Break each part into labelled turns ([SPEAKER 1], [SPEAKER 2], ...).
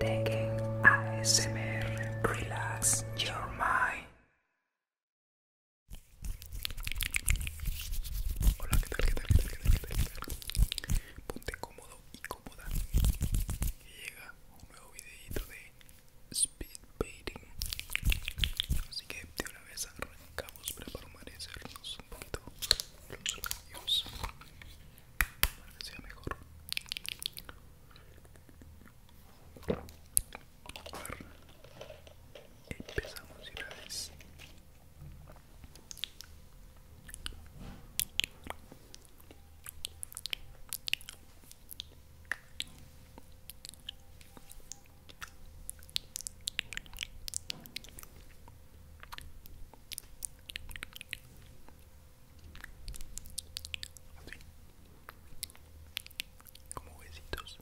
[SPEAKER 1] Tekken ASMR Relax Your Mind. Hola, ¿qué tal? ¿Qué tal? ¿Qué tal? ¿Qué tal? ¿Qué tal? Ponte cómodo y cómoda. Que llega un nuevo videito de Speed Así que de una vez arrancamos para amanecernos un poquito los labios para que sea mejor. A ver, empezamos una vez. Así. Como huesitos.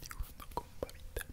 [SPEAKER 1] Dibujando con babita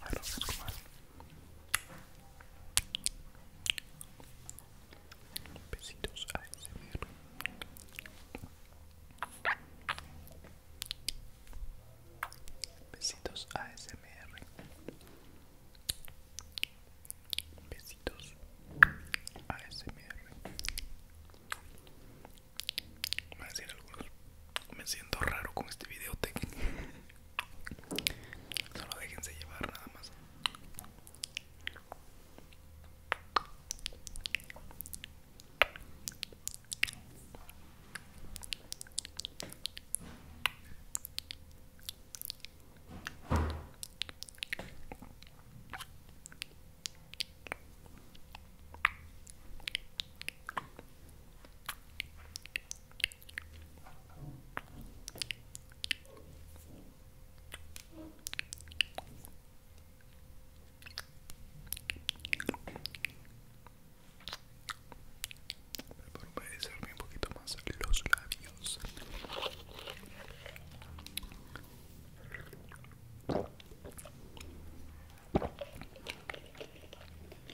[SPEAKER 1] A vamos más. Besitos a ese ASMR Besitos ASMR Besitos ASMR Voy a decir algo me siento raro con este videotech solo déjense llevar nada más para humedecerme un poquito más los labios.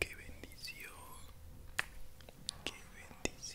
[SPEAKER 1] Qué bendición, qué bendición.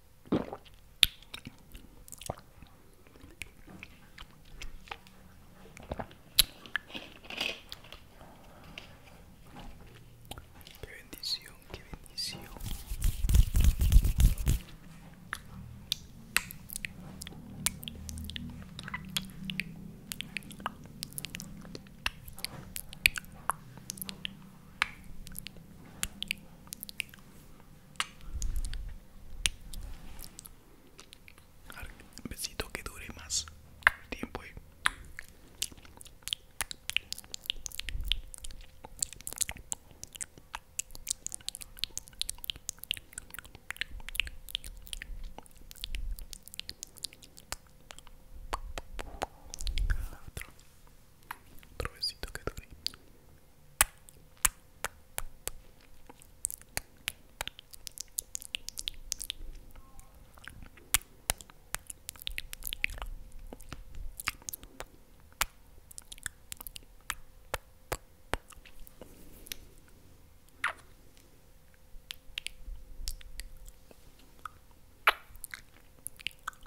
[SPEAKER 2] Qué bendición, qué bendición. Un besito que dure más tiempo. Otro besito que dure.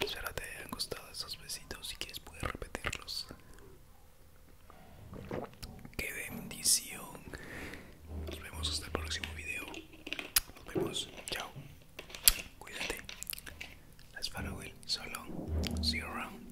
[SPEAKER 3] Espero te hayan gustado estos besitos. Si quieres, puedes repetirlos. ¡Qué bendición! Nos vemos hasta el próximo video. Nos vemos. Chao. Cuídate. Let's follow it. So long. See you around.